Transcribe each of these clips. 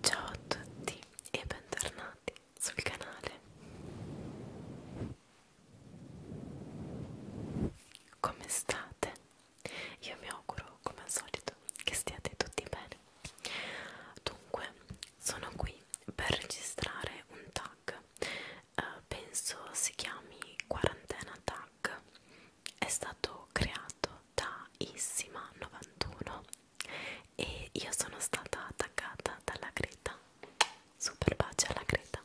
Ciao a tutti e bentornati sul canale. Come state? Io mi auguro, come al solito, che stiate tutti bene. Dunque, sono qui per registrare un tag. Uh, penso si chiami quarantena tag. È stato creato da Issima 91 e io sono stata attaccata dalla Greta super pace alla Greta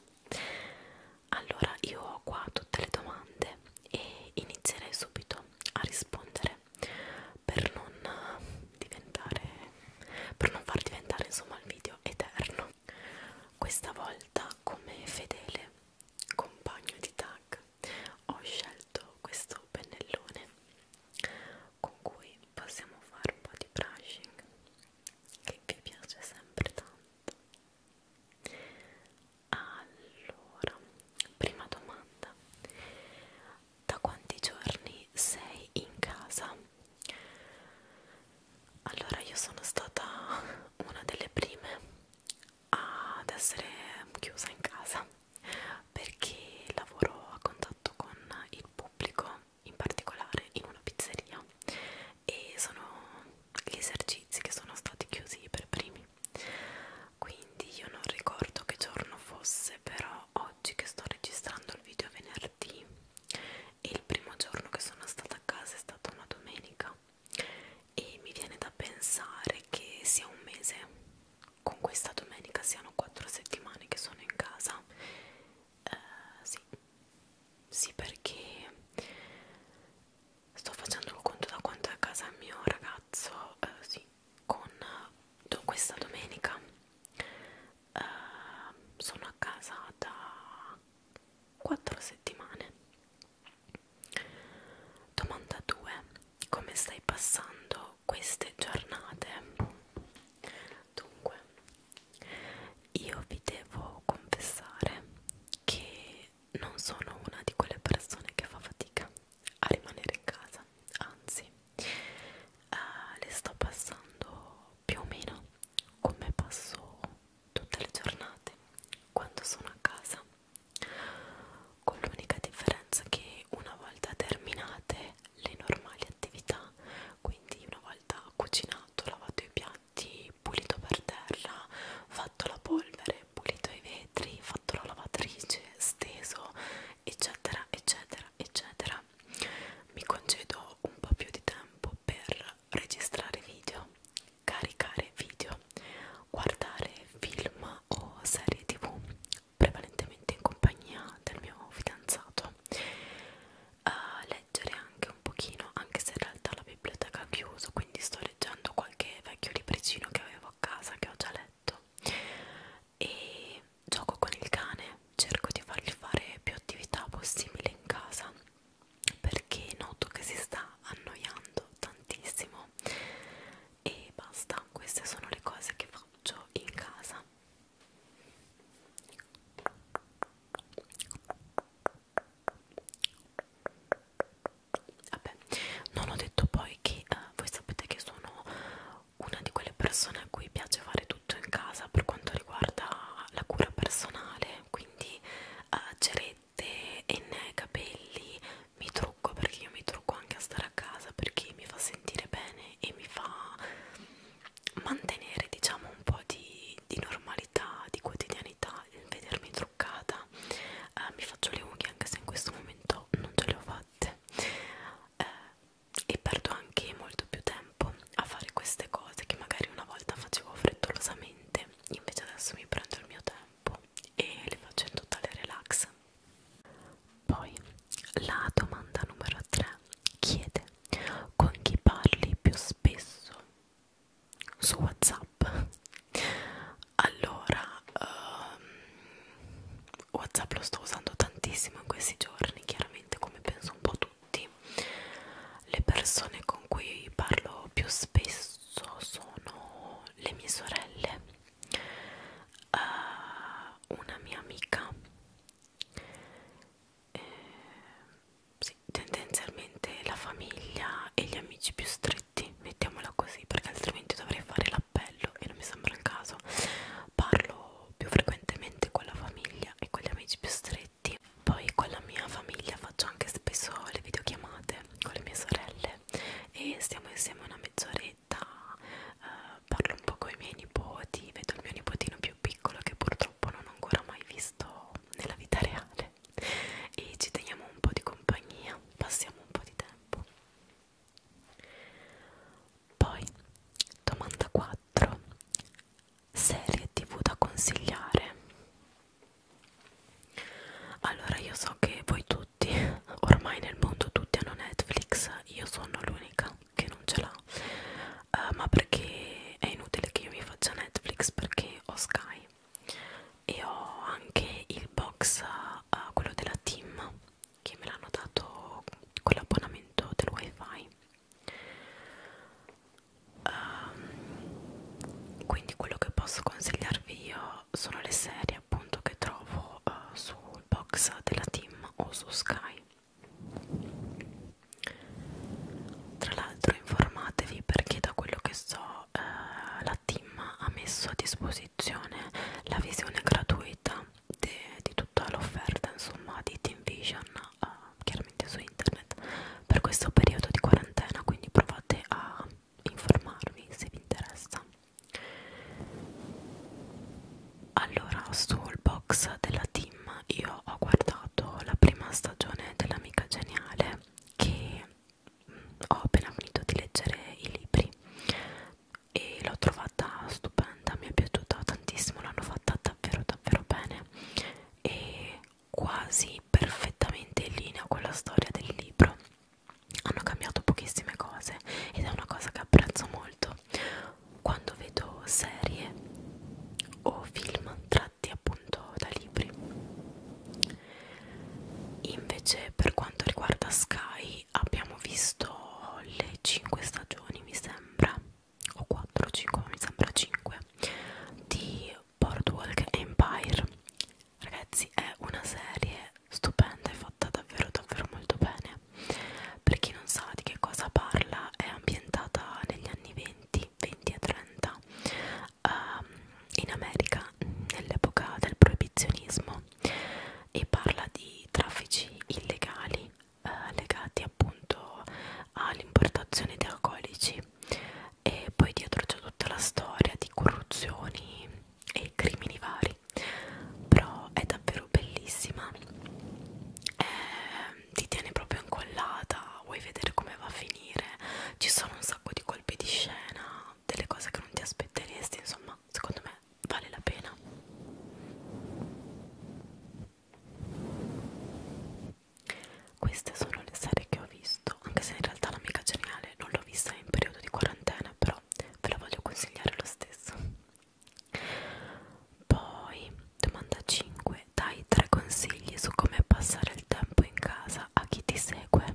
allora io ho qua tutte le domande e inizierei subito a rispondere per non diventare per non far diventare insomma il video eterno questa volta come fedele compagno di tag ho scelto questo pennellone con cui possiamo fare un po' di brushing che vi piace sempre tanto allora prima domanda da quanti giorni sei in casa? allora io sono stata una delle prime ad essere chiusa in casa perché lavoro a contatto con il pubblico, in particolare in una pizzeria e sono gli esercizi che sono stati chiusi per primi. Quindi io non ricordo che giorno fosse, però oggi che sto registrando il video è venerdì e il primo giorno che sono stata a casa è stata una domenica e mi viene da pensare che sia un mese con questa domenica siano quattro settimane che sono in casa eh, sì sì perché sto facendo il conto da quanto è a casa il mio ragazzo eh, sì con do, questa domenica eh, sono a casa da quattro settimane domanda 2 come stai passando queste giornate dunque io vi devo confessare che non sono una di quelle persone che fa fatica a rimanere in casa anzi eh, le sto passando più o meno come passo tutte le giornate quando sono a casa con l'unica differenza che una volta terminate le normali attività, quindi una volta cucinato, lavato i piatti, pulito per terra, fatto la polvere, pulito i vetri, fatto la lavatrice, steso, eccetera, eccetera, eccetera, mi concedo un po' più di tempo per registrare video, caricare video, guardare film o serie tv prevalentemente in compagnia del mio fidanzato a leggere anche un pochino anche se in realtà la biblioteca ha chiuso quindi sto leggendo qualche vecchio libricino che avevo a casa che ho già letto e gioco con il cane cerco di fargli fare più attività possibile in casa perché noto che si sta annoiando tantissimo e basta queste sono le cose che faccio in casa vabbè non ho detto poi che eh, voi sapete che sono una di quelle persone a cui piace fare tutto in casa per quanto riguarda la cura personale quindi eh, cerette, enne, capelli mi trucco perché io mi trucco anche a stare a casa perché mi fa sentire bene e mi fa mantenere diciamo un po' di, di normalità, di quotidianità il vedermi truccata eh, mi faccio le unghie anche se in questo momento non ce le ho fatte eh, e perdo anche molto più tempo a fare queste cose che magari una volta facevo frettolosamente invece adesso mi prendo il mio tempo e le faccio in totale relax poi la domanda numero 3 chiede con chi parli più spesso su WhatsApp. Allora, um, WhatsApp lo sto usando tantissimo in questi giorni, chiaramente come penso un po' tutti. Le persone con cui parlo più spesso sono le mie sorelle uh, una mia amica eh, sì, tendenzialmente la famiglia e gli amici più stretti mettiamola così perché altrimenti dovrei fare l'appello e non mi sembra il caso parlo più frequentemente con la famiglia e con gli amici più stretti poi con la mia famiglia faccio anche spesso le videochiamate con le mie sorelle e stiamo insieme una mezz'ora età, eh, parlo un po' con i miei nipoti, vedo il mio nipotino più piccolo che purtroppo non ho ancora mai visto nella vita reale e ci teniamo un po' di compagnia, passiamo un po' di tempo. Poi, domanda 4. Serie tv da consigliare? Allora io so che voi tutti, ormai nel mondo tutti hanno Netflix io sono l'unica che non ce l'ha uh, ma perché è inutile che io mi faccia Netflix perché ho Sky e ho anche il box uh, quello della team che me l'hanno dato con l'abbonamento del wifi um, quindi quello che posso consigliarvi io sono le serie serie appunto che trovo uh, eh, sul box della team o su Sky tra l'altro informatevi perché da quello che so eh, la team ha messo a disposizione la visione gratuita de, di tutta l'offerta insomma di Team Vision eh, chiaramente su internet per questo periodo di quarantena quindi provate a informarvi se vi interessa allora sul box della team io ho guardato la prima stagione dell'amica geniale che mm, ho appena finito di leggere i libri e l'ho trovata stupenda mi è piaciuta tantissimo l'hanno fatta davvero davvero bene e quasi perfettamente in linea con la storia del libro hanno cambiato pochissime cose ed è una cosa che apprezzo molto senso quando vedo serie o film tratti appunto da libri invece per quanto riguarda Sky abbiamo visto le 5 stagioni mi sembra o 4 o 5 mi sembra 5 di Boardwalk Empire ragazzi è una serie stupenda è fatta davvero davvero molto bene per chi non sa di che cosa parla è ambientata negli anni 20 20 e 30 um, ehm, in America nell'epoca del proibizionismo e parla di traffici illegali eh, legati appunto all'importazione di alcolici e poi dietro c'è tutta la storia di corruzioni e crimini vari però è davvero bellissima eh, ti tiene proprio incollata vuoi vedere come va a finire ci sono un sacco di colpi di scena delle cose che non ti aspetteresti insomma secondo me vale la pena queste sono le serie che ho visto anche se in realtà l'amica geniale non l'ho vista in periodo di quarantena però ve la voglio consigliare lo stesso poi, domanda 5: dai tre consigli su come passare il tempo in casa a chi ti segue.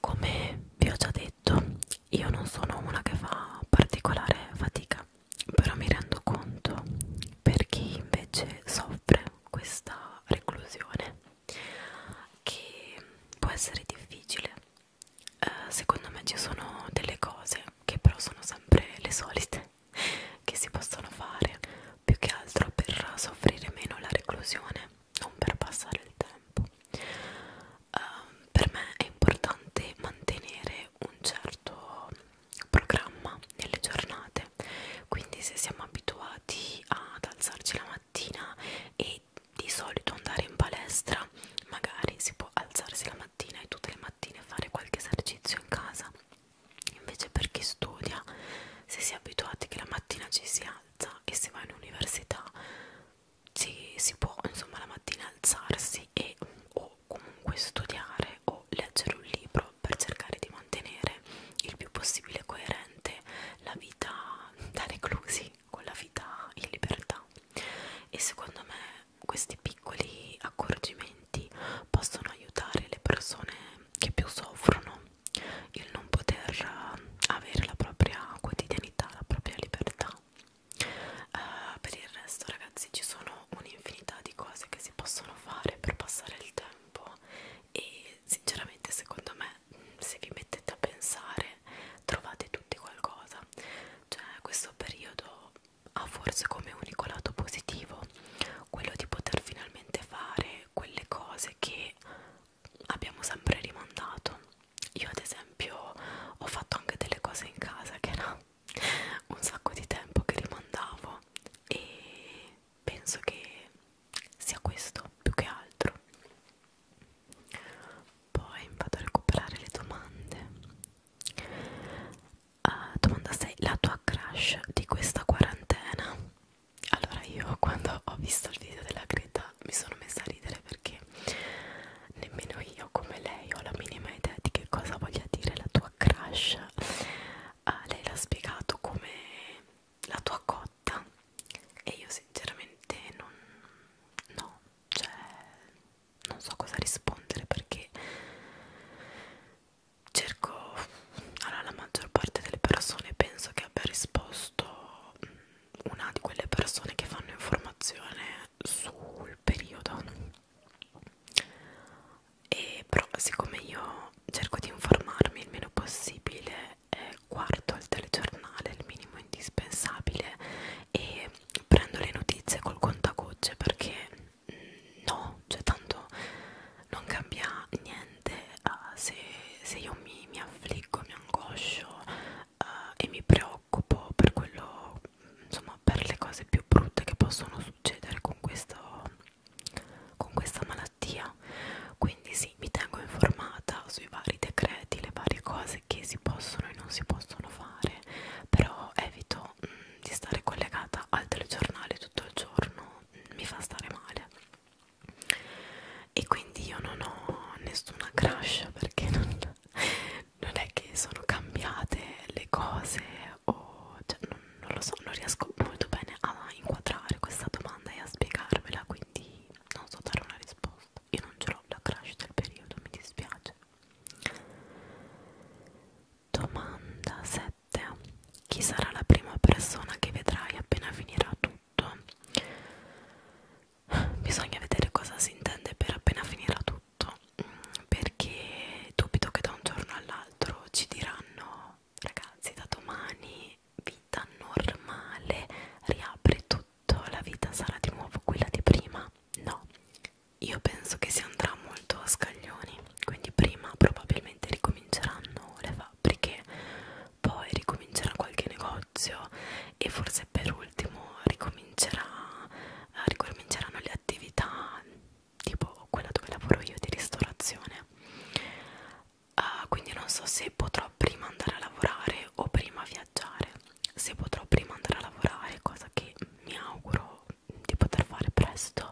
Come vi ho già detto, io non sono una che fa particolare fatica, però mi rendo conto per chi invece soffre questa reclusione che può essere difficile uh, secondo me ci sono delle cose che però sono sempre le solite che si possono fare più che altro per soffrire meno la reclusione non per passare il tempo uh, per me è importante mantenere un certo programma nelle giornate quindi se siamo abituati ad alzarci la mattina e di solito andare in palestra magari si può alzarsi la mattina e tutte le mattine fare qualche esercizio in casa invece per chi studia se si è abituati che la mattina ci si alza e se va in università si, si può insomma la mattina alzarsi e o comunque studiare o leggere un libro per cercare di mantenere il più possibile coerente la vita da reclusi tranquilli con la vita in libertà e secondo me questi piccoli accorgimenti possono aiutare le persone che più soffrono il non poter eh, avere la propria quotidianità, la propria libertà. Uh, per il resto ragazzi ci sono un'infinità di cose che si possono fare per passare il tempo e sinceramente secondo me se vi mettete a pensare me trovate tutti qualcosa cioè questo periodo ha forse come unico lato positivo quello di poter finalmente fare quelle cose che abbiamo sempre rimandato io ad esempio ho fatto anche delle cose in casa che era un sacco di tempo che rimandavo e penso che sia questo più che altro poi vado a recuperare le domande uh, domanda 6 la tua crush di questa quarantena allora io quando ho visto il video della Greta mi sono messa a ridere perché nemmeno io come lei ho la minima idea di che cosa voglia dire la tua crush uh, lei l'ha spiegato come la tua cotta e io sinceramente non no cioè non so cosa rispondere perché cerco allora la maggior parte delle persone penso che abbia risposto mm, una di quelle persone che fanno informazione sul periodo e però siccome io cerco di informarmi il meno possibile eh, guardo il telegiornale il minimo indispensabile e prendo le notizie col contagocce perché mm, no, cioè tanto non cambia niente uh, se, se io mi, mi affliggo, mi angoscio uh, e mi preoccupo per quello, insomma per le cose più brutte che possono succedere con, questo, con questa malattia quindi sì, mi tengo informata sui vari decreti, le varie cose che si possono e non si possono fare però evito mh, mm, di stare collegata al telegiornale tutto il giorno mh, mm, mi fa stare male e quindi io non ho nessuna crush perché non, non è che sono cambiate le cose o cioè, non, non lo so, non riesco molto bene a inquadrare questa domanda e a spiegarvela quindi non so dare una risposta io non ce l'ho la crush del periodo, mi dispiace Domanda 7. Chi sarà la prima persona che vedrai appena finirà tutto? Bisogna vedere cosa si intende per appena finirà tutto, perché dubito che da un giorno all'altro ci diranno ragazzi da domani vita normale, riapri tutto tutto la vita sarà di nuovo quella di prima? No, io penso che si andrà molto a scaglioni, quindi prima probabilmente ricominceranno le fabbriche, poi ricomincerà qualche negozio e forse per ultimo ricomincerà, ricominceranno le attività tipo quella dove lavoro io di ristorazione. Uh, quindi non so se potrò prima andare a lavorare o prima via viaggiare se potrò prima andare a lavorare cosa che mi auguro di poter fare presto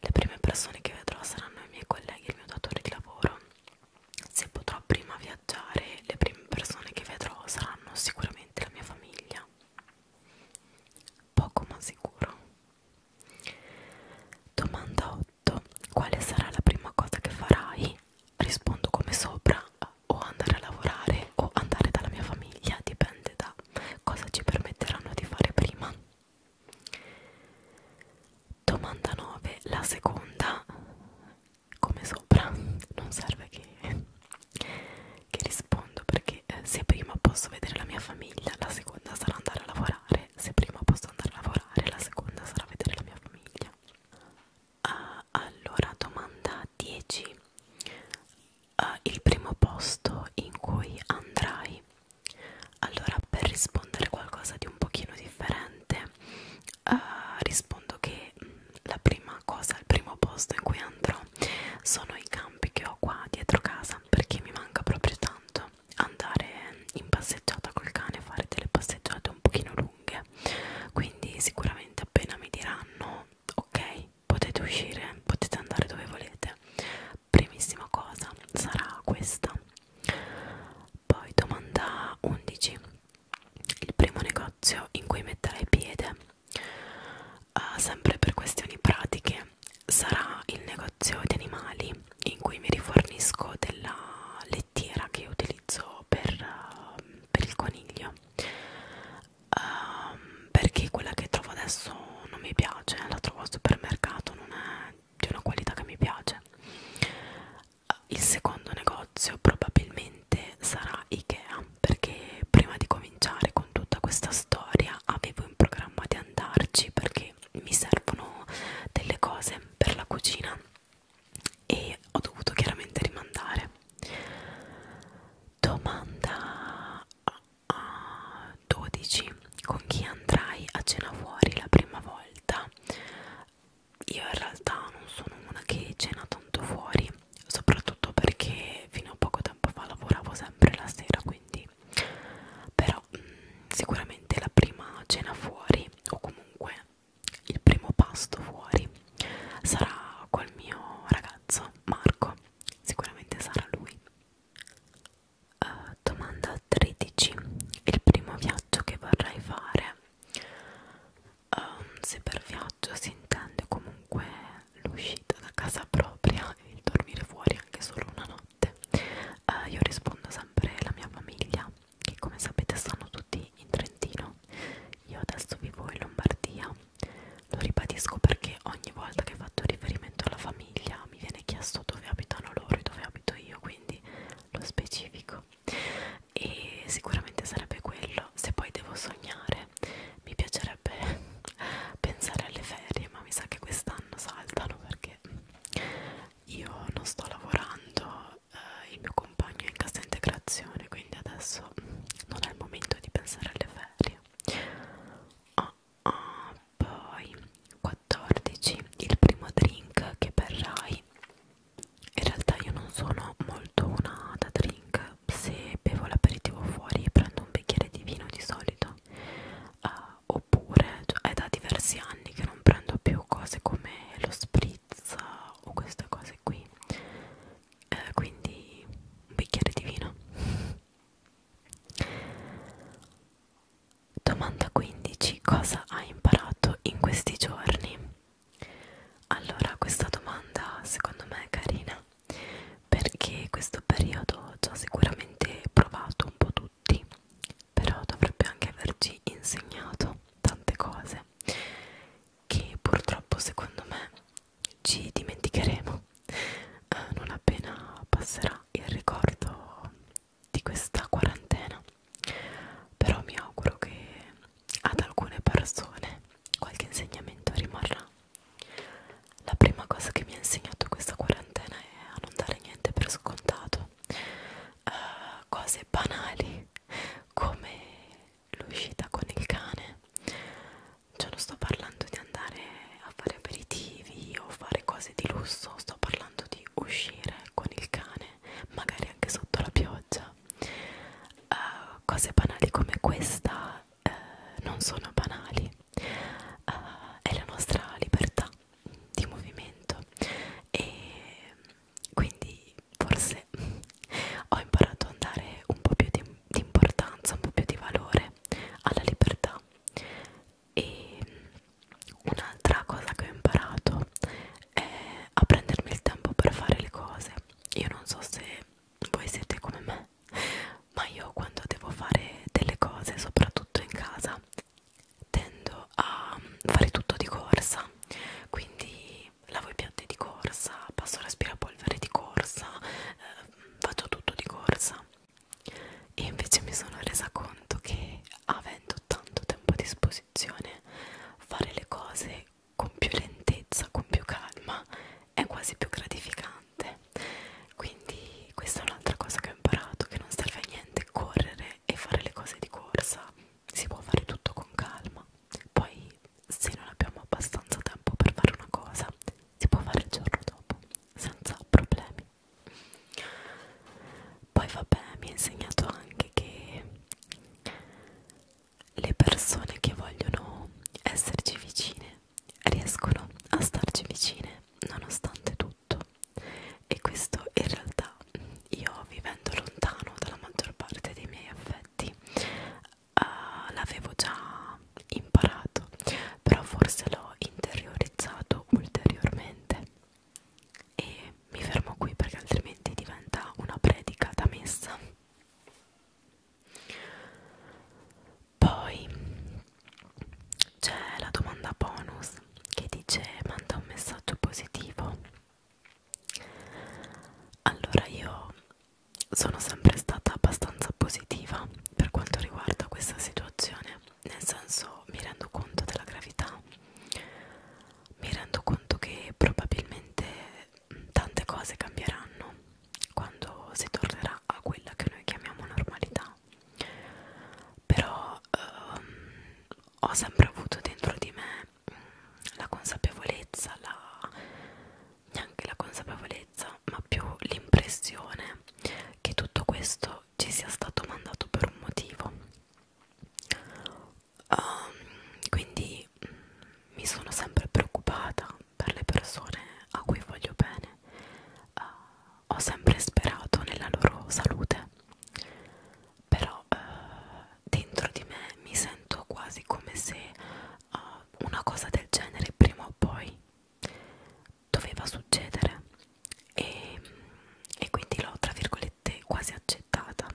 le prime persone che vedrò saranno i miei colleghi e il mio datore di lavoro se potrò prima viaggiare le prime persone che vedrò saranno sicuramente la mia famiglia poco ma sicuro domanda 8 quale sarà la prima cosa che farai rispondo come sopra o andare a lavorare o andare dalla mia famiglia, dipende da cosa ci permetteranno di fare prima. Domanda 9, la seconda, come sopra, non serve che, che rispondo perché eh, se prima posso vedere la mia famiglia, la seconda sarà andare a lavorare, se prima posso andare a lavorare, la seconda sarà vedere la mia famiglia. Uh, allora, domanda 10. Uh, ah, il primo posto in cui andrai. Allora, per rispondere qualcosa di un pochino differente, uh, rispondo che mh, mm, la prima cosa, il primo posto in cui andrò sono i campi che ho qua dietro casa perché mi manca proprio tanto andare in passeggiata col cane, fare delle passeggiate un pochino lunghe. Quindi sicuramente appena mi diranno ok potete uscire potete andare dove volete primissima cosa sarà questa poi domanda 11 il primo negozio in cui metterai piede uh, sempre per questioni pratiche sarà il negozio di animali in cui mi rifornisco della lettiera che utilizzo per, uh, per il coniglio um, perché quella che trovo adesso non mi piace la trovo al supermercato non è di una qualità che mi piace eh, il secondo negozio probabilmente sarà Ikea perché prima di cominciare con tutta questa storia avevo in programma di andarci perché mi servono delle cose per la cucina e ho dovuto chiaramente rimandare Domanda uh, 12. Con chi andrai a cena fuori la prima volta? Io in realtà non sono una che cena tanto fuori, soprattutto perché fino a poco tempo fa lavoravo sempre la sera, quindi però mh, mm, sicuramente la prima cena fuori o comunque il primo pasto fuori sarà col mio ragazzo Marco, sicuramente sarà lui. Uh, domanda 13. Il primo viaggio che vorrai fare? Eh, um, se per viaggio si intende comunque l'uscita da casa propria e il dormire fuori anche solo una notte, uh, io rispondo sempre alla mia famiglia che come sapete stanno tutti qui in Trentino io adesso vivo in Lombardia lo ribadisco perché ogni volta che faccio riferimento alla famiglia mi viene chiesto dove abitano loro e dove abito io quindi lo specifico e sicuramente sarebbe quello se poi devo sognare mi piacerebbe pensare alle ferie ma mi sa che quest'anno saltano perché io non sto lavorando eh, il mio compagno è in cassa integrazione quindi adesso non è il momento di pensare alle ferie oh, oh, poi 14 il primo drink che berrai in realtà io non sono molto una da drink se bevo l'aperitivo fuori prendo un bicchiere di vino di solito uh, oppure cioè, è da diversi anni che non prendo più cose come lo spritz o queste cose qui eh, quindi un bicchiere di vino domanda 15 cosa hai imparato in questi giorni allora questa domanda secondo me è carina perché questo periodo ci ha sicuramente provato un po' tutti però dovrebbe anche averci insegnato tante cose che purtroppo secondo me ci dimenticheremo eh, non appena passerà il ricordo di questa quarantena però mi auguro che ad alcune persone qualche insegnamento rimarrà la prima cosa che mi ha insegnato questa quarantena è a non dare niente per scontato eh, cose banali come l'uscita con il cane cioè non sto parlando di andare a fare aperitivi o fare cose di lusso sto parlando di uscire con il cane magari anche sotto la pioggia uh, cose banali come questa uh, non sono banali uh, è la nostra libertà di movimento e quindi forse mese ho imparato a dare un po' più di, di importanza, un po' più di valore alla libertà e un'altra cosa che ho imparato è a prendermi il tempo per fare le cose io non so se voi siete come me ma io quando devo fare delle cose soprattutto in casa tendo a fare tutto di corsa quindi quindi lavo i piatti di corsa, passo l'aspirapolvere di corsa, eh, faccio tutto di corsa e invece mi sono resa conto che avendo tanto tempo a disposizione fare le cose con più lentezza, con più calma è quasi più gratificante quindi questa è un'altra cosa che ho imparato che non serve a niente correre e fare le cose di corsa si può fare tutto con calma poi se non abbiamo abbastanza tempo per fare una cosa si può fare il giorno dopo senza problemi poi vabbè mi ha insegnato anche che le persone che vogliono esserci vicine riescono a starci vicine nonostante tutto e questo in realtà io vivendo lontano dalla maggior parte dei miei affetti uh, l'avevo già imparato però forse l'ho interiorizzato ulteriormente e mi fermo qui perché altrimenti diventa una predica da messa poi c'è la domanda bonus che dice manda un messaggio positivo allora io sono sempre stata abbastanza positiva per quanto riguarda questa situazione, nel senso mi rendo conto della gravità, mi rendo conto che probabilmente tante cose cambieranno quando si tornerà a quella che noi chiamiamo normalità, però ehm, ho sempre avuto dentro di me mm, la consapevolezza, la, neanche la consapevolezza, ma più l'impressione che tutto questo ci sia stato mandato per un motivo. Um, quindi mh, mm, mi sono sempre preoccupata per le persone a cui voglio bene, uh, ho sempre sperato nella loro salute, però uh, dentro di me mi sento quasi come se uh, però una cosa del genere prima o poi doveva succedere e, mm, e quindi l'ho tra virgolette quasi accettata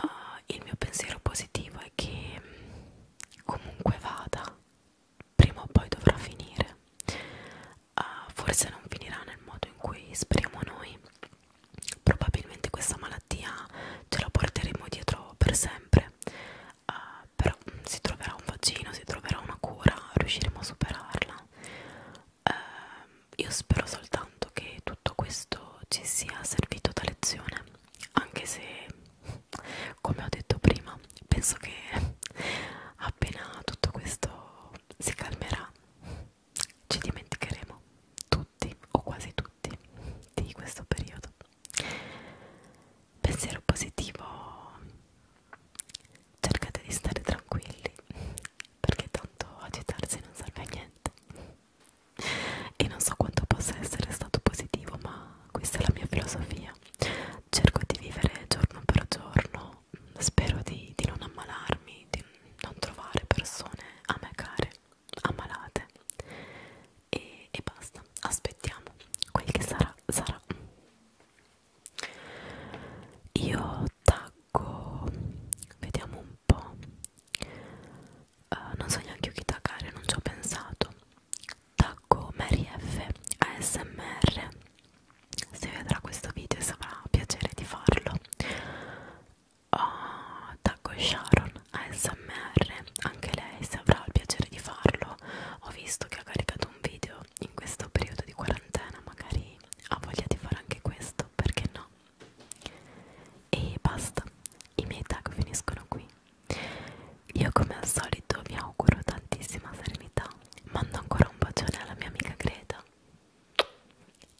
uh, il mio pensiero positivo è che mm, comunque vada prima o poi dovrà finire uh, forse non finirà nel modo in cui speriamo noi probabilmente questa malattia ce la porteremo dietro per sempre niente uh, però si troverà un vaccino si troverà una cura riusciremo a superarla uh, io spero soltanto che tutto questo ci sia servito da lezione anche se come ho detto prima penso che appena tutto questo si calmerà ci dimenticheremo tutti o quasi tutti di questo periodo Pensiero positivo, cercate di stare tranquilli perché tanto agitarsi non serve a niente. E non so quanto possa essere stato positivo, ma questa è la mia filosofia. Cerco di vivere giorno per giorno, spero di, di non ammalarmi, di non trovare persone a me care, ammalate e, e basta aspettiamo quel che sarà sarà io taggo vediamo un po uh, non so neanche io chi taggare non ci ho pensato taggo Mary F ASMR se vedrà questo video e sarà piacere di farlo oh, taggo Sharon ASMR, anche lei se avrà il piacere di farlo, ho visto che ha caricato un video in questo periodo di quarantena, magari ha voglia di fare anche questo, perché no? E basta, i miei tag finiscono qui. Io come al solito vi auguro tantissima serenità, mando ancora un bacione alla mia amica Greta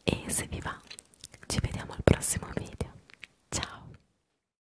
e se vi va ci vediamo al prossimo video. Ciao!